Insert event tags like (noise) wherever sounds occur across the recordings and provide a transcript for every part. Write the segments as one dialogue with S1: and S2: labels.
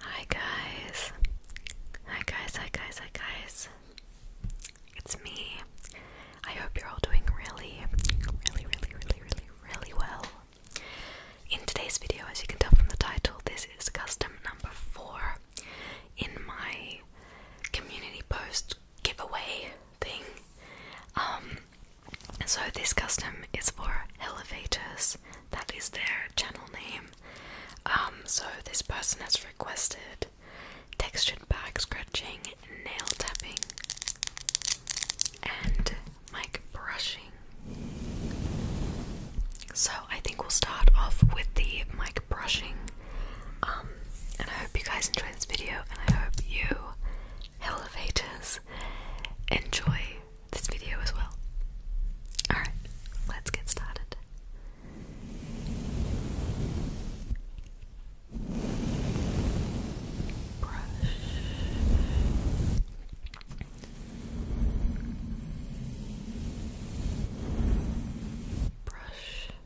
S1: Hi guys. Hi guys, hi guys, hi guys. It's me. I hope you're all doing really, really, really, really, really, really well. In today's video, as you can tell from the title, this is custom number four in my community post giveaway thing. Um, so this custom is for elevators. That is their channel name. Um, so this person has requested textured bag, scratching, nail tapping, and mic brushing. So I think we'll start off with the mic brushing. Um, and I hope you guys enjoy this video, and I hope you, elevators, enjoy this video as well. Alright, let's get started. Brush. Brush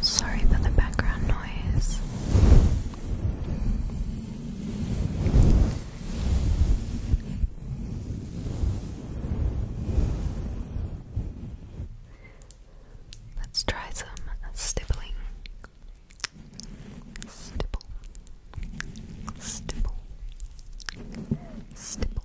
S1: Sorry for the background noise. Let's try some stippling. Stipple. Stipple. Stipple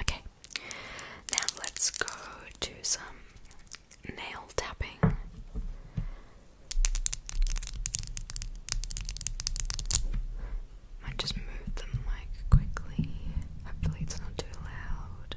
S1: Okay, now let's go to some nail tapping. Might just move them like quickly. Hopefully, it's not too loud.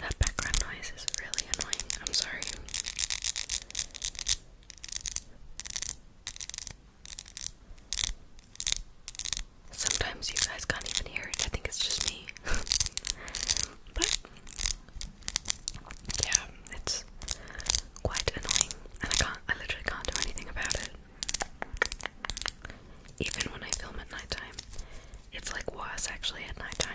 S1: That background noise is really annoying. I'm sorry. Sometimes you guys can't even hear it. I think it's just me. (laughs) but yeah, it's quite annoying, and I can't. I literally can't do anything about it. Even when I film at nighttime, it's like worse actually at nighttime.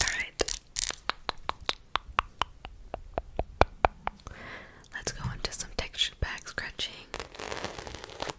S1: All right. Let's go on some textured back scratching.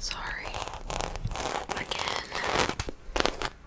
S1: Sorry. Again.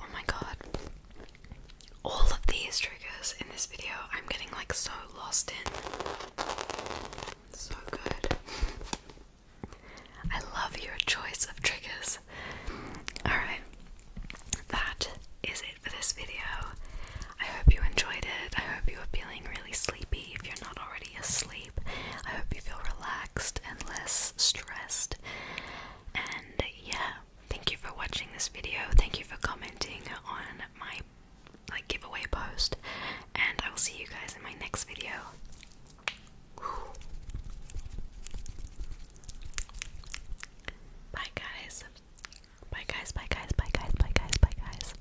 S1: Oh my god. All of these triggers in this video, I'm getting like so lost in. So good. I love your choice of triggers. Alright, that is it for this video. I hope you enjoyed it. I hope you are feeling really sleepy if you're not already asleep. I hope you feel relaxed and less stressed. And yeah, thank you for watching this video. Thank you for commenting on my like giveaway post. And I will see you guys in my next video. Bye guys. Bye guys, bye guys, bye guys, bye guys, bye guys.